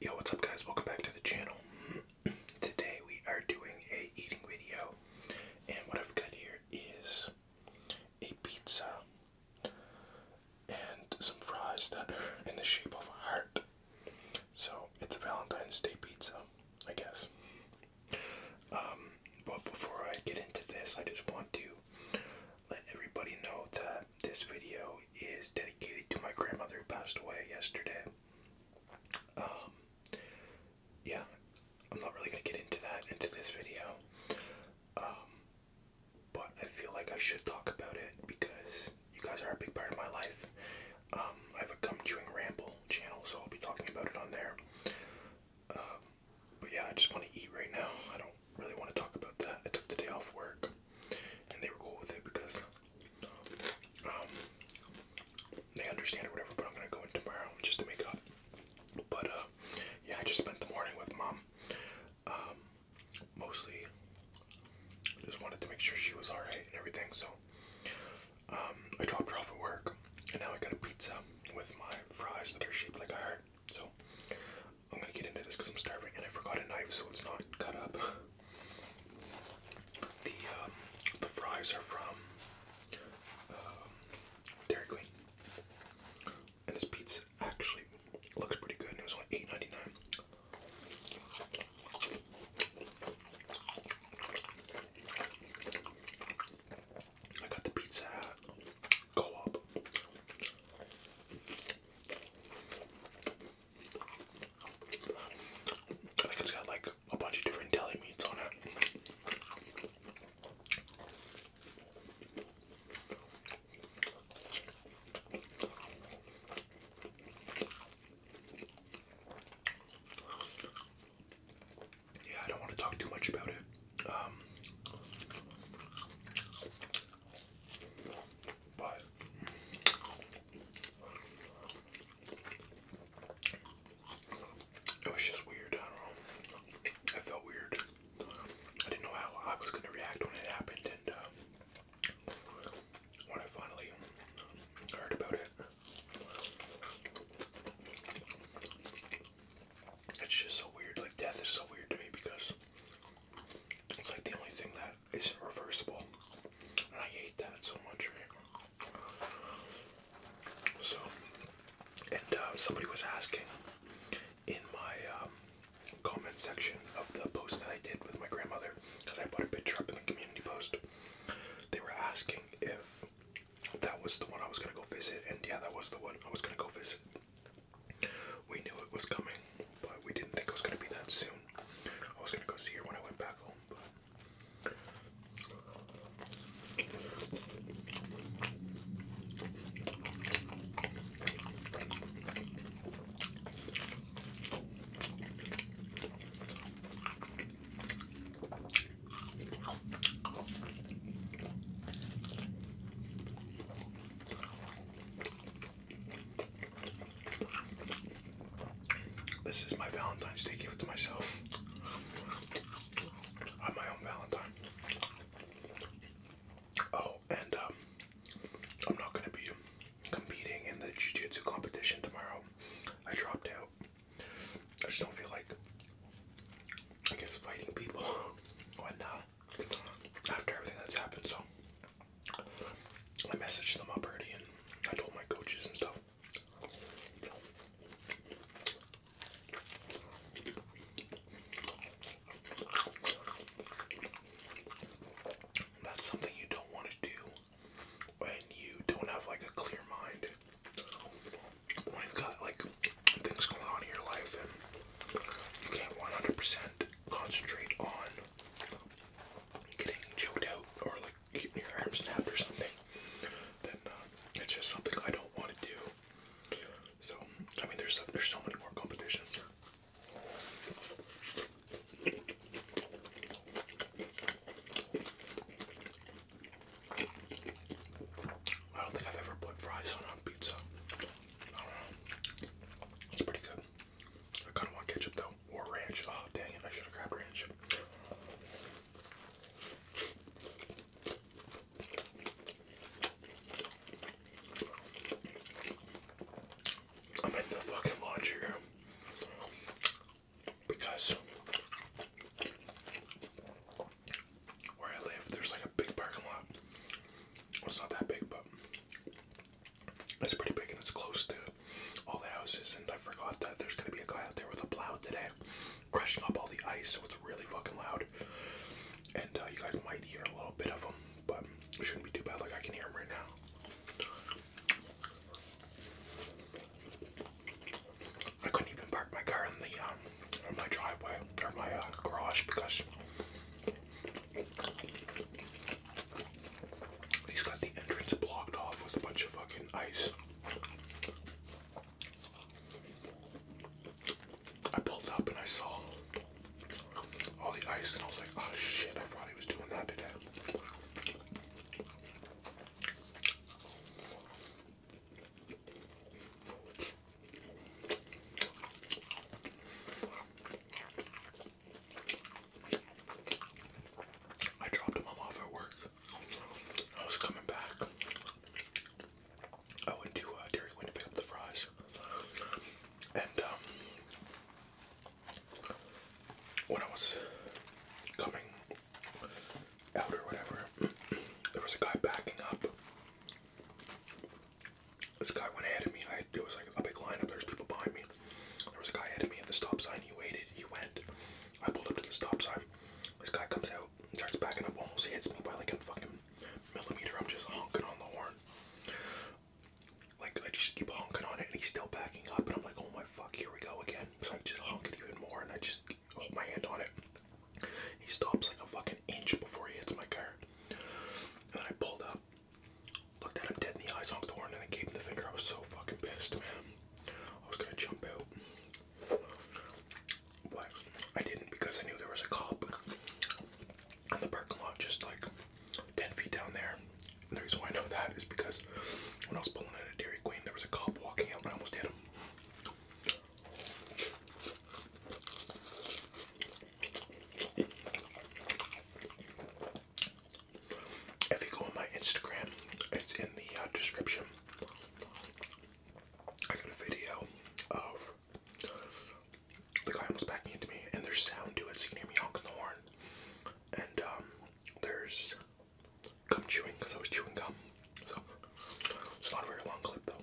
Yo, what's up guys? Welcome back to the channel. Today we are doing a eating video and what I've got here is a pizza and some fries that are in the shape of a heart. So it's a Valentine's Day pizza, I guess. Um, but before I get into this, I just want to let everybody know that this video is dedicated to my grandmother who passed away yesterday. Um, yeah, I'm not really gonna get into that into this video, um, but I feel like I should talk about it because you guys are a big part of my life. Um, I have a gum chewing ramble channel, so I'll be talking about it on there. but yeah, I just want to eat right now. I don't really want to talk about that. I took the day off work and they were cool with it because um, they understand or whatever. But I'm gonna go in tomorrow just to make up. But uh, yeah, I just spent the morning with mom. Um, mostly, just wanted to make sure she was alright and everything. So um, I dropped her off at work, and now I got a pizza with my fries that are shaped like a heart. So I'm gonna get into this because I'm starving and I forgot a knife so it's not cut up. The um, the fries are from um, Dairy Queen, and this pizza actually looks pretty good. it was only eight ninety nine. I got the pizza at co I think it's got like a bunch of different deli meats on it. Yeah, I don't want to talk too much about it. Um, but it was just weird. I felt weird. I didn't know how I was gonna react when it happened, and um, when I finally heard about it, it's just so weird. Like death is so weird to me because it's like the only thing that isn't reversible. And I hate that so much, So, and uh, somebody was asking in my um, comment section of the post that I did with my grandmother, because I put a picture up in the community post. They were asking if that was the one I was going to go visit, and yeah, that was the one I was going to go visit. We knew it was coming, but we didn't think it was going to be that soon. I was going to go see her when I went back home, but. This is my Valentine's Day gift to myself. I'm my own Valentine. Oh, and um, I'm not going to be competing in the Jiu Jitsu competition tomorrow. I dropped out. I just don't feel like, I guess, fighting people when after everything that's happened. So I messaged them already and I told my coaches and stuff. That's something you don't want to do when you don't have like a clear mind. When you've got like things going on in your life and you can't 100% concentrate on getting choked out or like getting your arm snapped or something, then uh, it's just something I don't want to do. So I mean, there's there's so many more competitions. I don't think I've ever put fries on on pizza. It's pretty good. I kind of want ketchup though, or ranch. Oh, dang it, I should have grabbed ranch. I'm in the fucking laundry room because where I live, there's like a big parking lot. It's not that big, but it's pretty big and it's close to all the houses. And I forgot that there's gonna be a guy out there with a plow today, crushing up all the ice. So it's really fucking loud. And uh, you guys might hear a little bit of him, but it shouldn't be too bad. Like I can hear him right now. I couldn't even park my car in the um, in my driveway or my uh, garage because He's got the entrance blocked off with a bunch of fucking ice. I pulled up and I saw all the ice, and I was like, oh shit, I thought he was doing that today. I dropped my mom off at work. I was coming back. I went to uh, Dairy Queen to pick up the fries. And um, when I was coming out or whatever, there was a guy backing up. This guy went ahead of me. I there was like a big lineup. There's people behind me. There was a guy ahead of me at the stop sign. He waited. He went. I pulled up to the stop sign. This guy comes out, starts backing up, almost hits me by like a fucking millimeter. I'm just honking on the horn. Like I just keep honking on it, and he's still backing up. And I'm like, oh my fuck, here we go again. So I just honk it even more, and I just hold my hand on it. He stops like a fucking inch before he hits my car. And I pulled up, looked at him dead in the eyes, honked the horn, and then gave him the finger. I was so fucking pissed, man. I was gonna jump out. But I didn't because I knew there was a cop on the parking lot just like 10 feet down there. the reason why I know that is because when I was pulling out of Dairy Queen, there was a cop walking out and I almost hit him. If you go on my Instagram, it's in the uh, description. I got a video of the guy almost backing into me, and there's sound to it, so you can hear me honking the horn. And um, there's gum chewing because I was chewing gum. So it's not a very long clip though.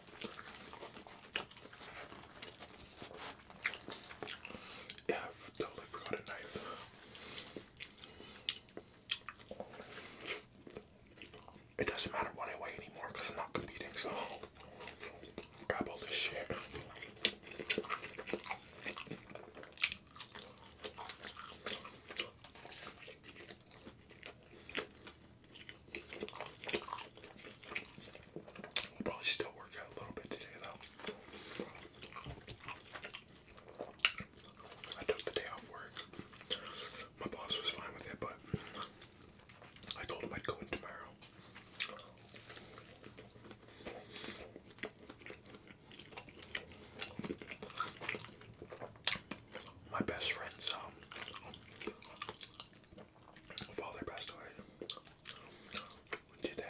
Yeah, totally forgot a knife. It doesn't matter what I weigh anymore because I'm not competing, so grab all this shit. Probably still work out a little bit today though. I took the day off work. My boss was fine with it, but I told him I'd go in tomorrow. My best friend's um father passed away today,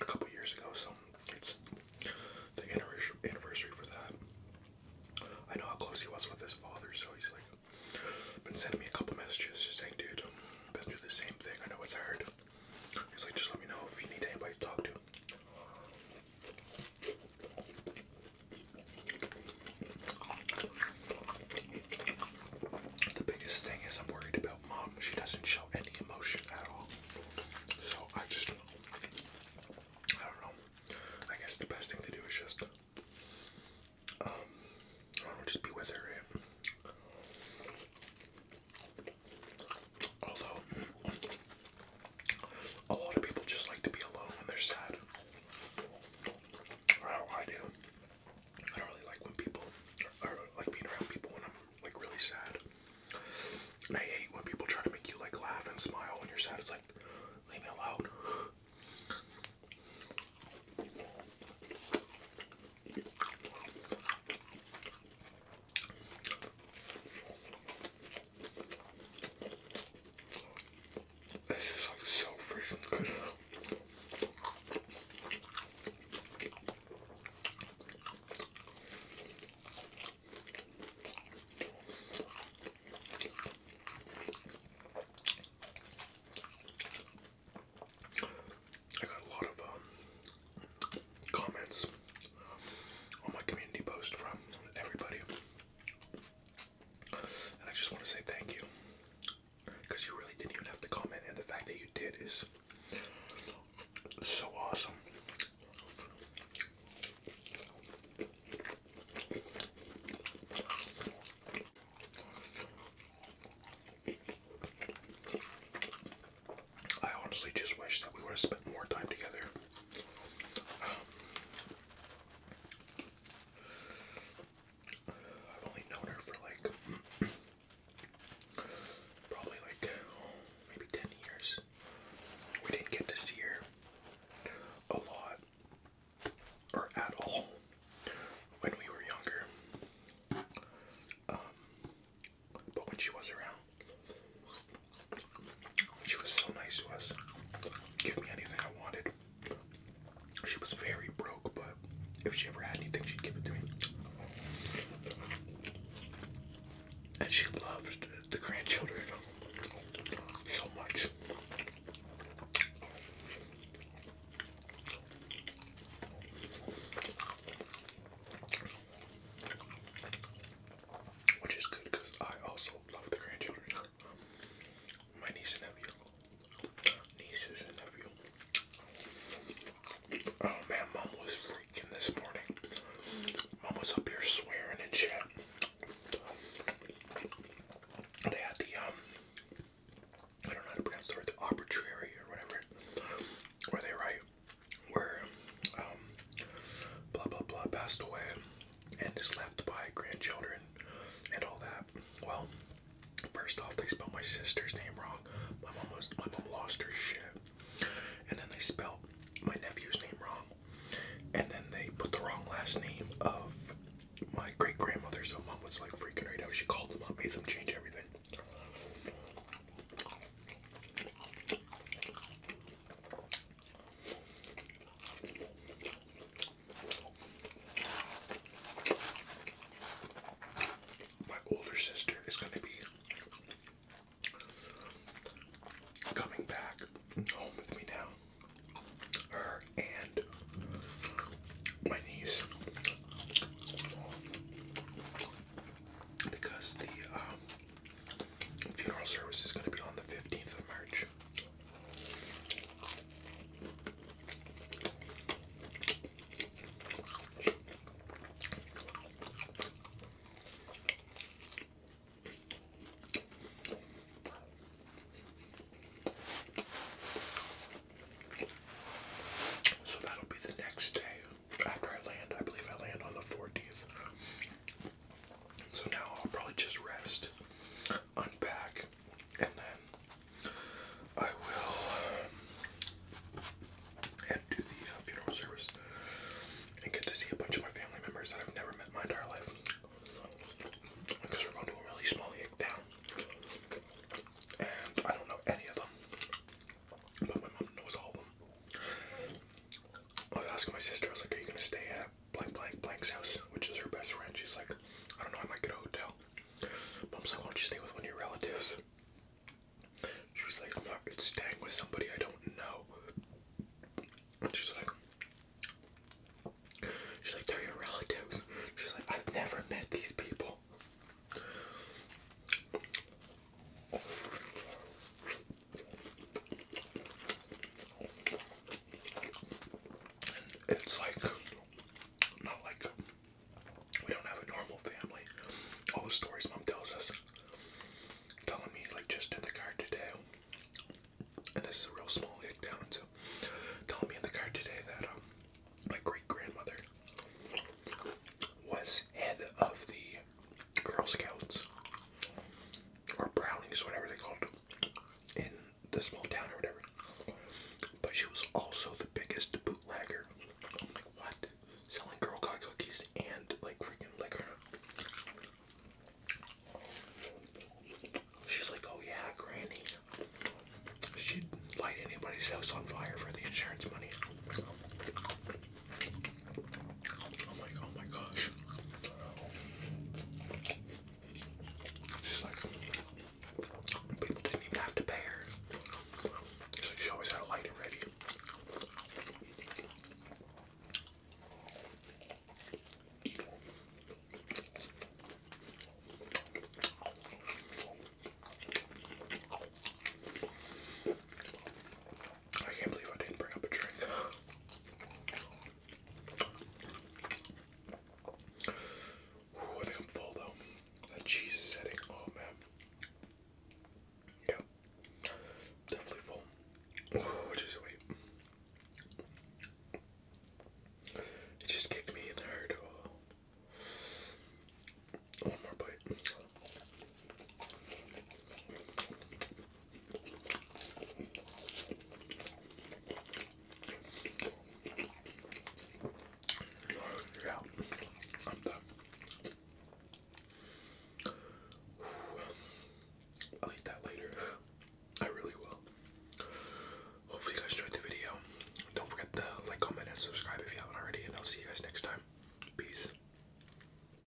a couple years ago. So it's the anniversary for that. I know how close he was with his father, so he's like been sending me a couple messages, just saying, "Dude, been through the same thing. I know it's hard." He's like, "Just let me know if you need anybody to talk to." The biggest thing is I'm worried about mom. She doesn't show any emotion at all. So I just, I don't know. I guess the best thing to do is just, um, just be with her. Right? Although, a lot of people just like to be alone when they're sad. Or how I do. I don't really like when people, or, like being around people when I'm like really sad. And I hate when people try to make you like laugh and smile when you're sad. It's like, leave me alone. This is like so freaking good. I got a lot of um, comments on my community post from everybody and I just want to say thank you because you really didn't even have to comment, and the fact that you did is so awesome. I honestly just wish that we would have spent more time together. I've only known her for like probably like maybe 10 years. We didn't get to see her a lot or at all when we were younger. Um, but when she was around, she was so nice to us. Give me anything I wanted. She was very broke, but if she ever had anything, she'd give it to me. And she loved the grandchildren so much. Which is good because I also love the grandchildren my niece and nephew, nieces and nephew. Oh man, mom was freaking this morning. Mom was up here swearing and shit. They had the um, I don't know how to pronounce the word, the arbitrary or whatever, where they write where um, blah blah blah passed away and is left by grandchildren and all that. Well, first off, they spelled my sister's name wrong. My mom was my mom lost her shit, and then they spelled my nephew's name wrong, and then they put the wrong last name of my great grandmother. So mom was like freaking right out. She called them up, made them change everything. My older sister is going to be coming back home with me now. Her and my niece. Because the um, Funeral service is going to be on the 15th of March. So that'll be the next day after I land. I believe I land on the 14th. So now I'll probably just rest, unpack, and then I will head to the uh, funeral service and get to see a bunch of my family members that I've never met my entire life. Because we're going to a really small hick down, And I don't know any of them. But my mom knows all of them. I was asking my sister, I was like, Are you gonna stay at blank blank blank's house, which is her best friend. She's like, I don't know, I might get a hotel. Mom's like, why don't you stay with one of your relatives? She was like, I'm not staying with somebody I don't know. And she's like, She's like, they're your relatives. She's like, I've never met these people it's like, not like we don't have a normal family. All the stories mom tells us, telling me, like, just in the car today, and this is a real small town, so telling me in the car today that um, my great grandmother was head of the Girl Scouts or brownies, whatever they called them, in the small town or whatever. But she was also the biggest bootlegger. I'm like, what? Selling Girl Guide cookies and like freaking liquor. She's like, oh yeah, Granny. She'd light anybody's house on fire for the insurance money. Oh my, oh my gosh. She's like, people didn't even have to pay her. She's she always had a lighter ready. I can't believe I didn't bring up a drink. I think I'm full though. That cheese is hitting. Oh man. Yeah. Definitely full. just wait. It just kicked me in the heart. Oh. One more bite. Yeah, I'm done. I'll eat that later. I really will. Hopefully you guys enjoyed the video. Don't forget to like, comment, and subscribe if you haven't already, and I'll see you guys next time. Peace.